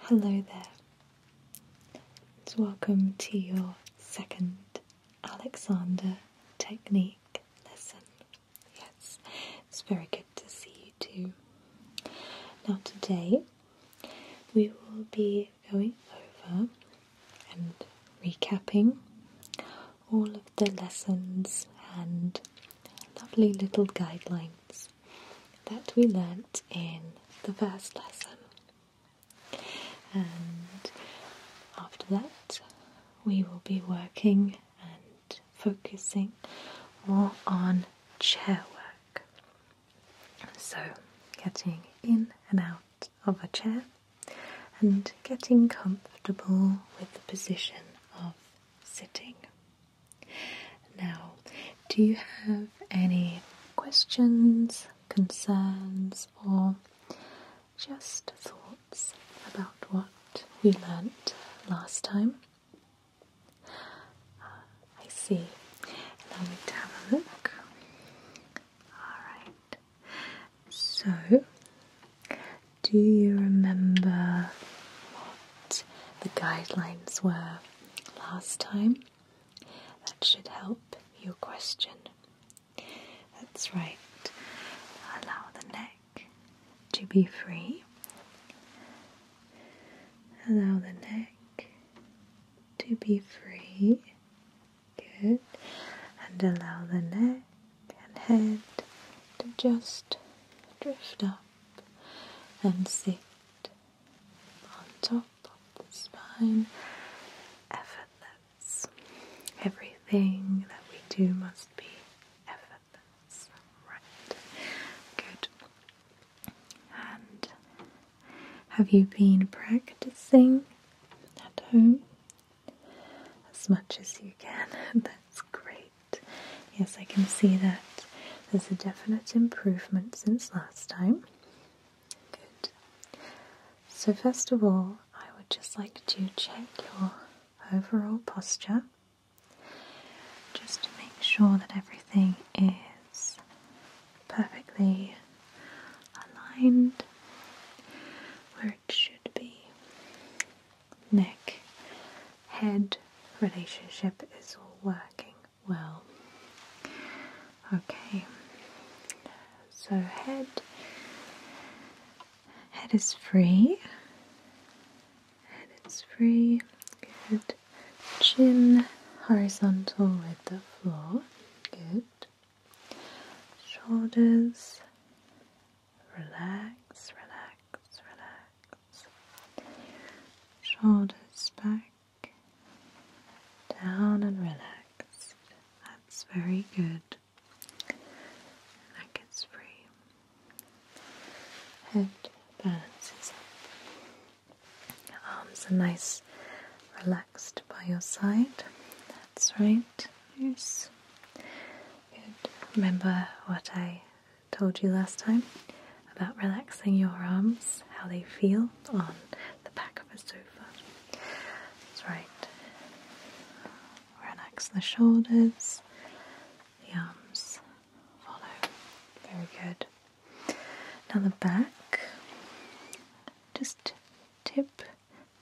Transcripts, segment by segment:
Hello there, and welcome to your second Alexander Technique lesson. Yes, it's very good to see you too. Now, today we will be going over and recapping all of the lessons and lovely little guidelines that we learnt in the first lesson. And after that, we will be working and focusing more on chair work. So, getting in and out of a chair and getting comfortable with the position of sitting. Now, do you have any questions, concerns, or just thoughts about what we learnt last time? Ah, I see. Allow me have a look. Alright. So, do you remember the guidelines were last time. That should help your question. That's right. Allow the neck to be free. Allow the neck to be free. Good. And allow the neck and head to just drift up and sit on top of the spine, effortless. Everything that we do must be effortless. Right. Good. And have you been practicing at home? As much as you can. That's great. Yes, I can see that there's a definite improvement since last time. Good. So, first of all, I would just like to check your overall posture just to make sure that everything is perfectly aligned where it should be neck head relationship is all working well. Okay, so head head is free. Head is free. Good. Chin horizontal with the floor. Good. Shoulders relax, relax, relax. Shoulders back, down and relaxed. That's very good. Neck is free. Head balances Arms are nice, relaxed by your side. That's right. Yes. Good. Remember what I told you last time about relaxing your arms, how they feel on the back of a sofa. right. Relax the shoulders, the arms follow. Very good. Now the back, just tip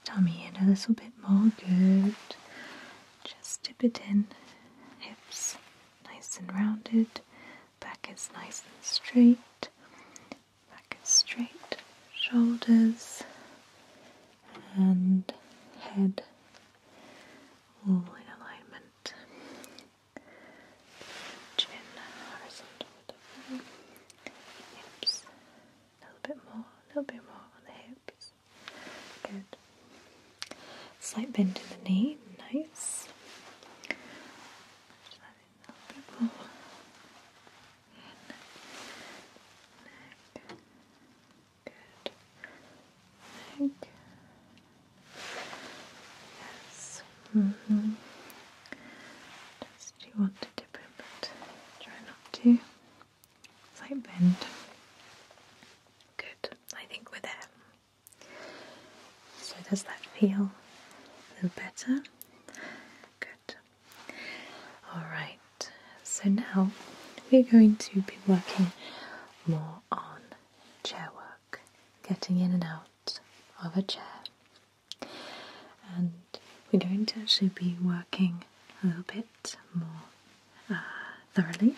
tummy in a little bit more. Good. Just dip it in. Hips nice and rounded. Back is nice and straight. Back is straight. Shoulders and head all in alignment. Chin Hips a little bit more, a little bit more on the hips. Slight bend in the knee, nice. Just Good. Yes. Mm hmm you want to dip it, but try not to slight bend. Good, I think we're there. So does that feel a little better? Good. Alright, so now we're going to be working more on chair work, getting in and out of a chair. And we're going to actually be working a little bit more thoroughly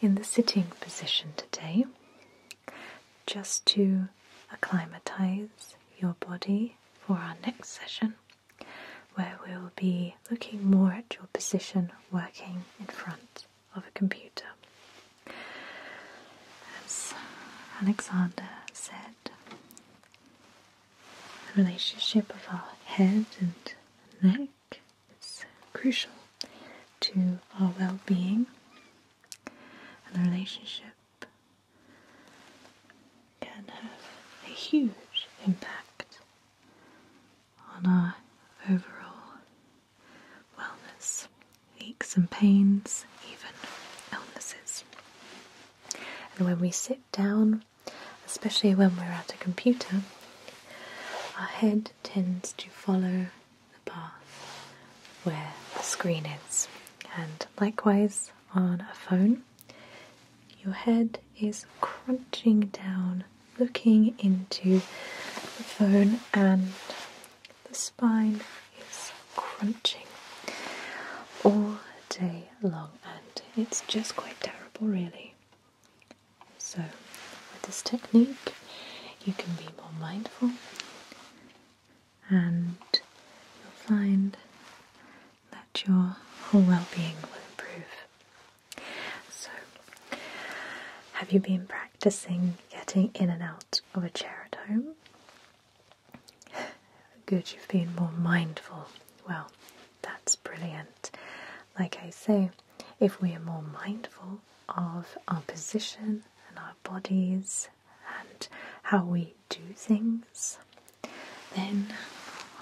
in the sitting position today just to acclimatise your body for our next session where we'll be looking more at your position working in front of a computer. As Alexander said, the relationship of our head and neck think is crucial to our well being and the relationship can have a huge impact on our overall wellness, aches and pains, even illnesses. And when we sit down especially when we're at a computer, our head tends to follow the path where the screen is. And likewise, on a phone, your head is crunching down, looking into the phone, and the spine is crunching all day long, and it's just quite terrible, really. So, with this technique, you can be more mindful and you'll find that your whole well being will improve. So, have you been practicing getting in and out of a chair at home? Good, you've been more mindful. Well, that's brilliant. Like I say, if we are more mindful of our position and our bodies and how we do things, then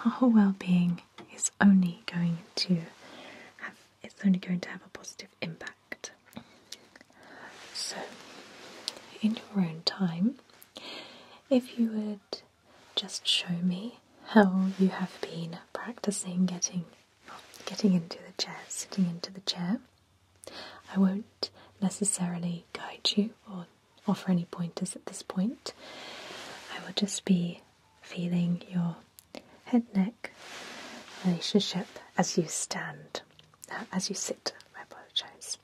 our well being is only going to have it's only going to have a positive impact. So in your own time, if you would just show me how you have been practicing getting getting into the chair, sitting into the chair. I won't necessarily guide you or offer any pointers at this point. I will just be feeling your head neck relationship as you stand, Now, uh, as you sit, I apologize.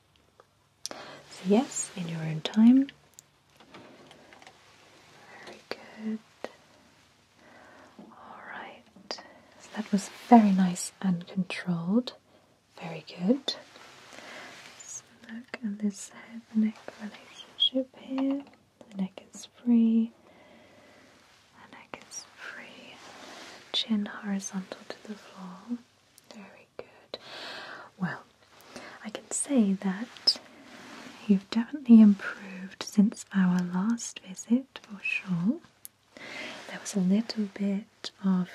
So, yes, in your own time, very good. All right. that was very nice and controlled. Very good. look at this head neck relationship here. The neck is free. The neck is free. Chin horizontal to the floor. Very good. Well, I can say that you've definitely improved since our last visit for sure. There was a little bit of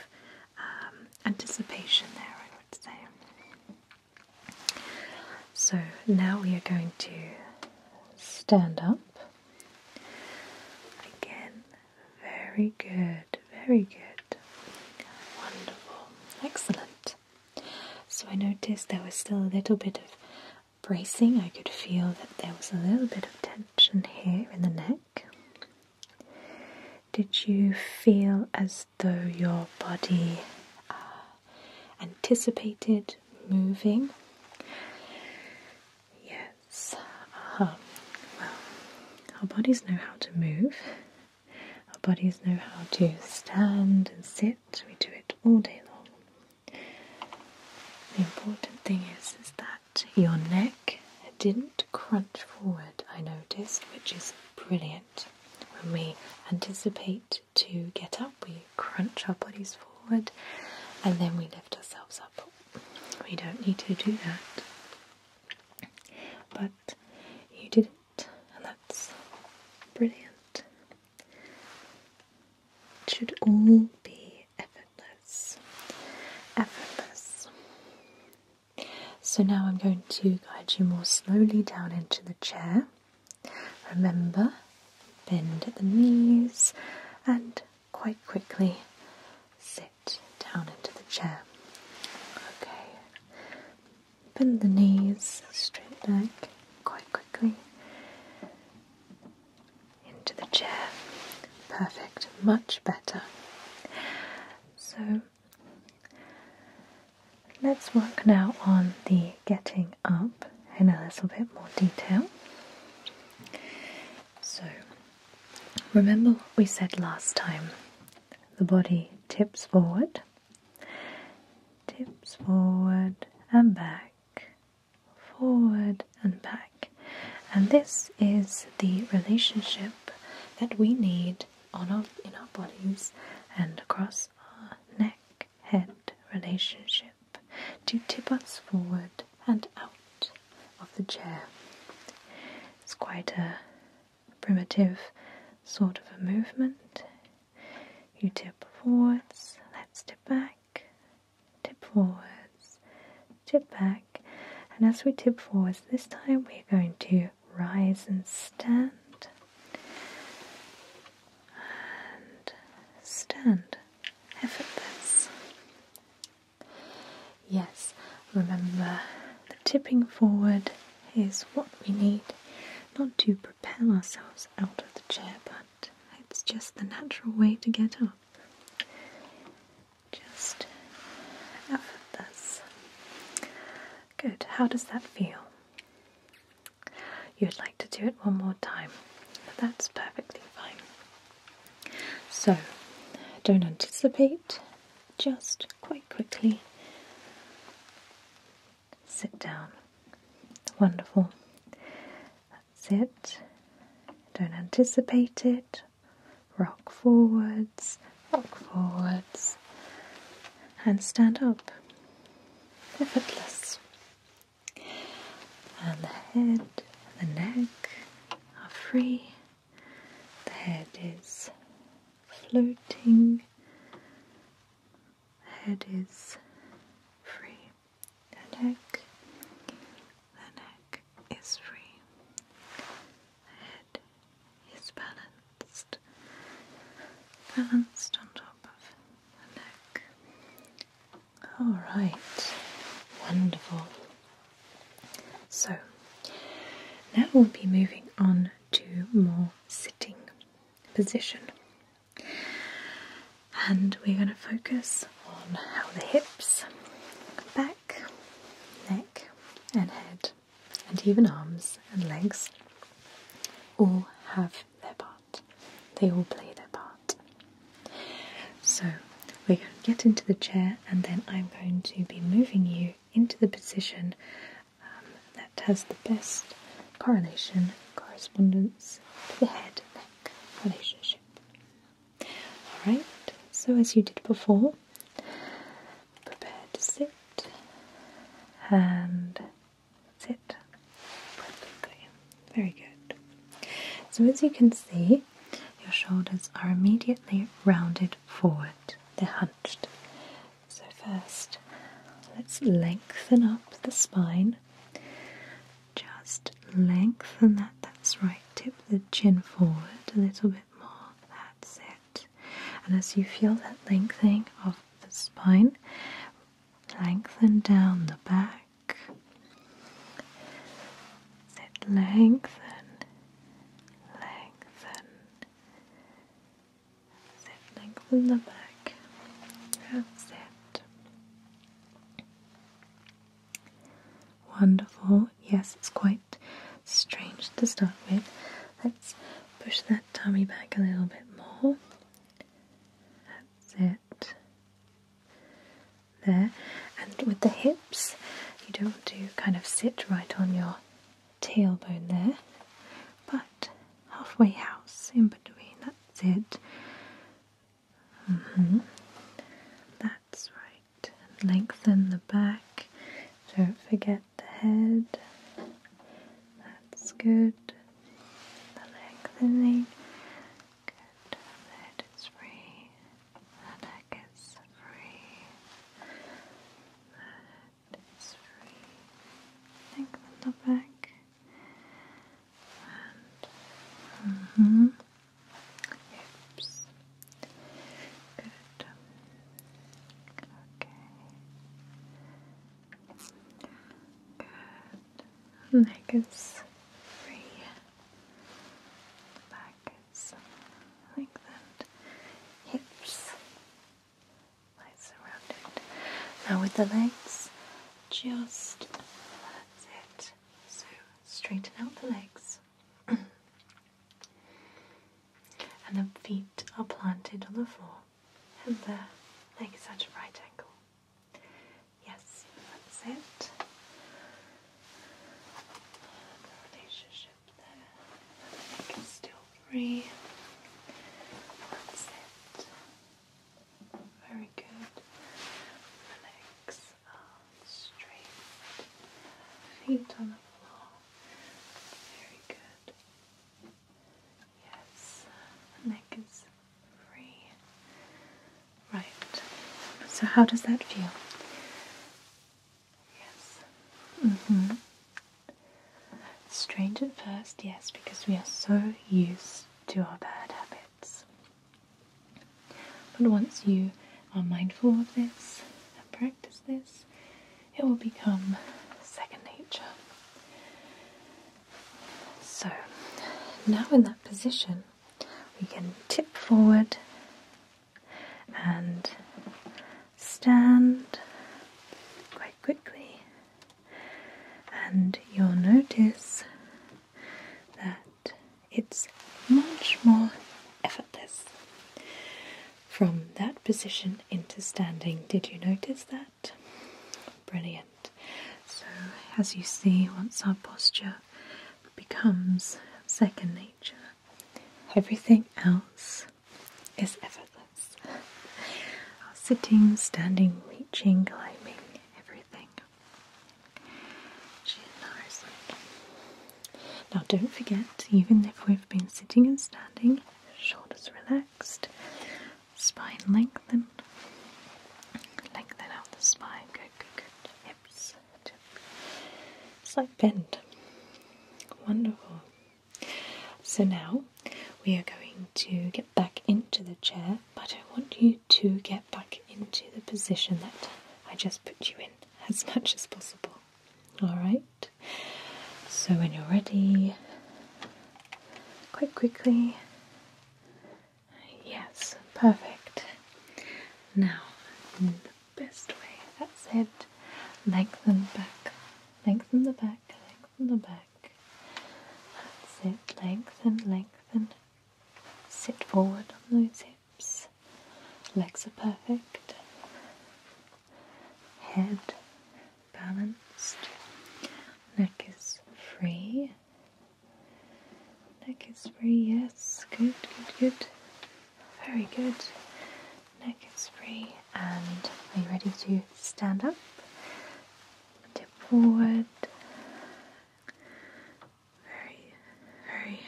um, anticipation there, I would say. So now we are going to stand up. Again, very good, very good. Wonderful, excellent. So I noticed there was still a little bit of bracing. I could feel that there was a little bit of tension here in the neck. Did you feel as though your body uh, anticipated moving? Yes. Uh-huh. Well, our bodies know how to move. Our bodies know how to stand and sit. We do it all day long. The important thing is, that your neck didn't crunch forward, I noticed, which is brilliant. When we anticipate to get up, we crunch our bodies forward and then we lift ourselves up. We don't need to do that. But you did that's brilliant. It should all be effortless. Effortless. So now I'm going to guide you more slowly down into the chair. Remember, bend at the knees and quite quickly sit down into the chair. Okay, bend the knees straight back quite quickly into the chair. Perfect, much better. So let's work now on the getting up in a little bit more detail. So remember what we said last time the body tips forward Tips forward and back, forward and back. And this is the relationship that we need on our, in our bodies and across our neck head relationship to tip us forward and out of the chair. It's quite a primitive sort of a movement. You tip forwards, let's tip back, tip forwards, tip back. And as we tip forwards this time, we're going to rise and stand. And stand effortless. Yes, remember the tipping forward is what we need, not to propel ourselves out of the chair, but it's just the natural way to get up. Just effort this. Good, how does that feel? You'd like to do it one more time. That's perfectly fine. So, don't anticipate, just quite quickly. Sit down. Wonderful. That's it. Don't anticipate it. Rock forwards, rock forwards, and stand up. Effortless. And the head, the neck are free. The head is floating, the head is free, the neck, the neck is free, the head is balanced, balanced on top of the neck. Alright, wonderful. So now we'll be moving on Two more sitting position. And we're going to focus on how the hips, back, neck, and head, and even arms and legs all have their part. They all play their part. So we're going to get into the chair, and then I'm going to be moving you into the position um, that has the best correlation correspondence to the head neck relationship. Alright, so as you did before, prepare to sit and sit perfectly. Very good. So, as you can see, your shoulders are immediately rounded forward. they so, first, let's lengthen up the spine. Just lengthen that, that's right. Tip the chin forward a little bit more. That's it. And as you feel that lengthening of the spine, lengthen down the back. It lengthen lengthen, sit, lengthen the back, that's it. Wonderful, yes, it's quite strange to start with. Let's push that tummy back a little bit more. That's it. There, and with the hips, you don't want to kind of sit right on your tailbone there, but halfway house in between, that's it. Mm-hmm. That's right. lengthen the back, don't forget the head. That's good. The lengthening. Good. head is free. The mm-hmm. is free. The is free. Think the back. And mm Good. Okay. Good. Neck is free. back like that. Hips nice and rounded. Now with the legs, just that's it. So straighten out the legs. and the feet are planted on the floor and the legs at a right angle. Yes, that's it there. neck is still free. Very good. legs are um, straight. Feet on the floor. Very good. Yes, neck is free. Right. So, how does that feel? Yes. Mm hmm. Strange at first, yes, because we are so used to our bad habits. But once you are mindful of this and practice this, it will become second nature. So, now in that position, we can tip forward and stand quite quickly, and you'll notice that it's much more effortless from that position into standing. Did you notice that? Brilliant. So, as you see, once our posture becomes second nature, Everything else is effortless. Sitting, standing, reaching, climbing, everything. Now, don't forget, even if we've been sitting and standing, shoulders relaxed, spine lengthened. Lengthen out the spine. Good, good, good. Hips it. It's like bend. Wonderful. So now we are going to get back into the chair, but I want you to get back into the position that I just put you in as much as possible. Alright? So when you're ready, quite quickly. Yes, perfect. Now, best way. That's it. Lengthen back. Lengthen the back. Lengthen the back. That's it. Lengthen, lengthen. Sit forward on those hips. Legs are perfect. Head balanced. Neck is free. Neck is free, yes. Good, good, good. Very good. Neck is free. And are you ready to stand up? Tip forward. Very, very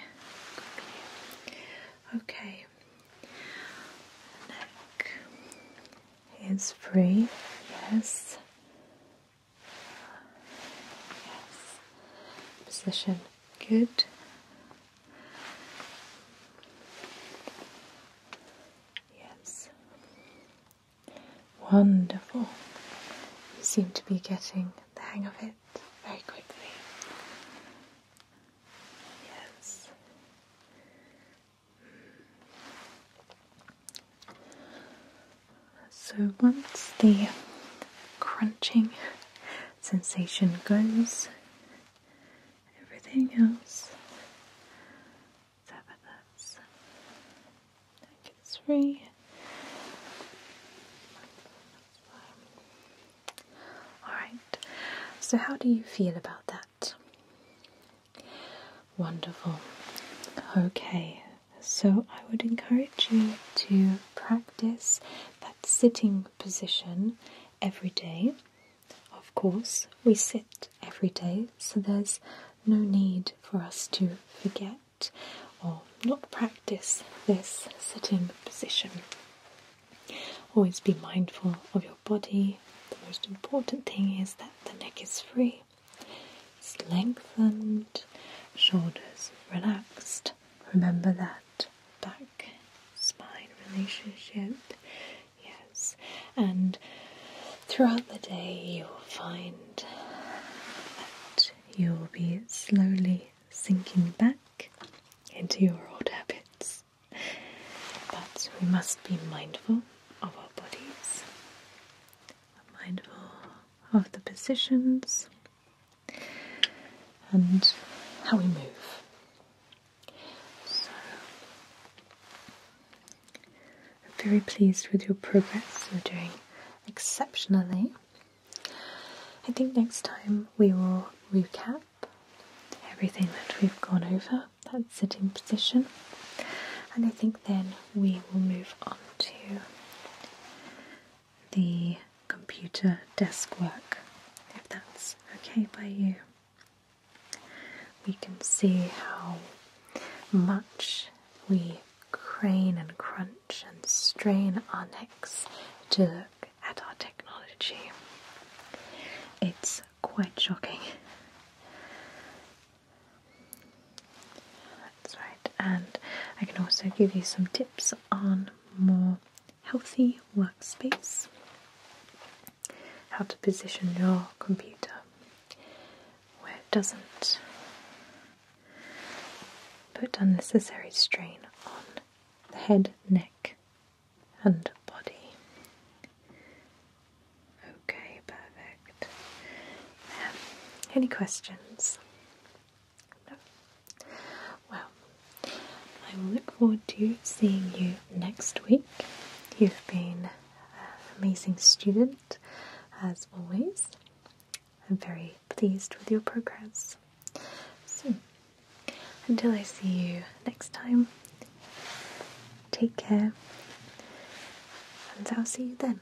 quickly. Okay. Neck is free, yes. Yes. Position Good. Yes. Wonderful. You seem to be getting the hang of it very quickly. Yes. So once the crunching sensation goes, everything else. let Alright, so how do you feel about that? Wonderful. Okay, so, I would encourage you to practice that sitting position every day. Of course, we sit every day, so there's no need for us to forget or not practice this sitting position. Always be mindful of your body. The most important thing is that the neck is free, it's lengthened, shoulders relaxed, Remember that back spine relationship. Yes, and throughout the day, you will find that you will be slowly sinking back into your old habits. But we must be mindful of our bodies, mindful of the positions and how we move. So, I'm very pleased with your progress. You're doing exceptionally. I think next time we will recap everything that we've gone over, that sitting position, and I think then we will move on to the computer desk work, if that's okay by you. We can see how much we crane and crunch and strain our necks to look at our technology. It's quite shocking. That's right, and I can also give you some tips on more healthy workspace, how to position your computer where it doesn't put unnecessary strain on the head, neck, and body. Okay, perfect. any questions? Well, I look forward to seeing you next week. You've been an amazing student, as always. I'm very pleased with your progress. So, until I see you next time, take care, and I'll see you then.